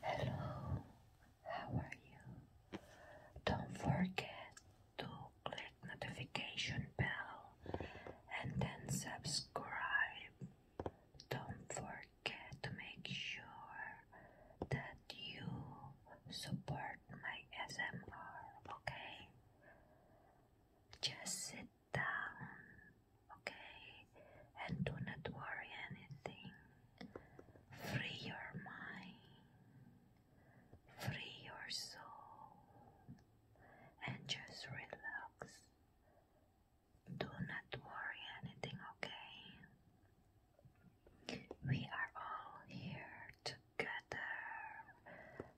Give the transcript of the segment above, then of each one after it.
Hello, how are you? Don't forget to click notification bell and then subscribe. Don't forget to make sure that you support my SMR, okay? Just sit down okay? And do not worry anything. Free your mind, free your soul, and just relax. Do not worry anything, okay? We are all here together,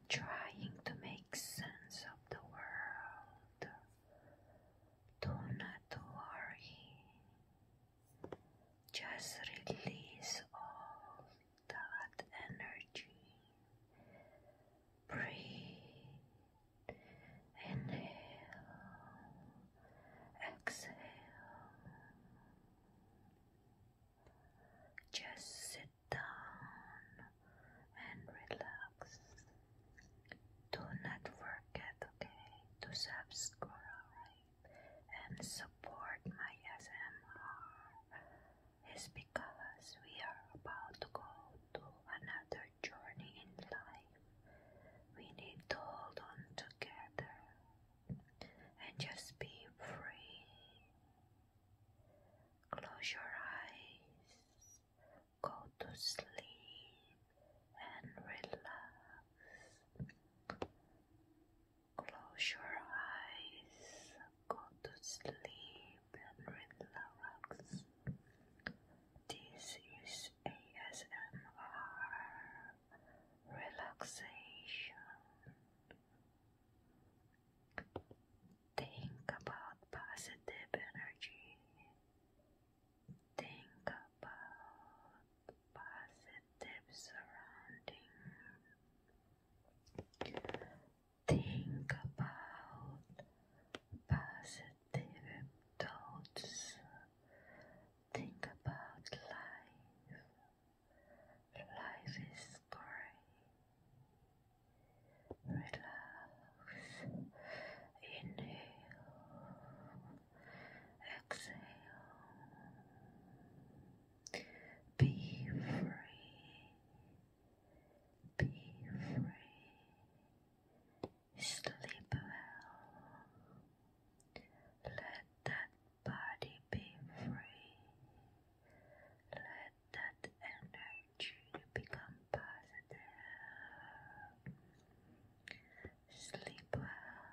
trying to make sense of the world. Do not worry. Just release all that energy. Breathe. Inhale. Exhale. Just sit down and relax. Do not okay, to subscribe and support my SMR. It's because we are about to go to another journey in life. We need to hold on together and just be free. Close your eyes go to sleep and relax. Close your eyes, go to sleep and relax. This is ASMR relaxation. Think about positive energy. Think about positive surrounding. Think about positive thoughts. Think about life. Life is great relax, inhale, exhale, be free, be free, sleep well, let that body be free, let that energy become positive. Sleep well,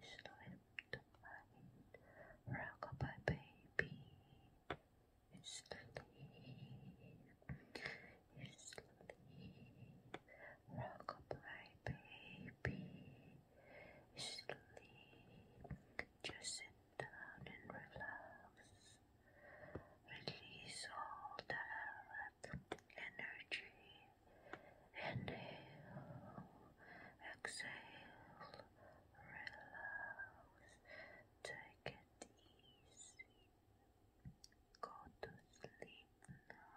sleep Rockabye baby, sleep, sleep. Rockabye baby, sleep. Just sit down and relax. Release all that energy. Inhale, exhale, relax. Take it easy. Go to sleep now.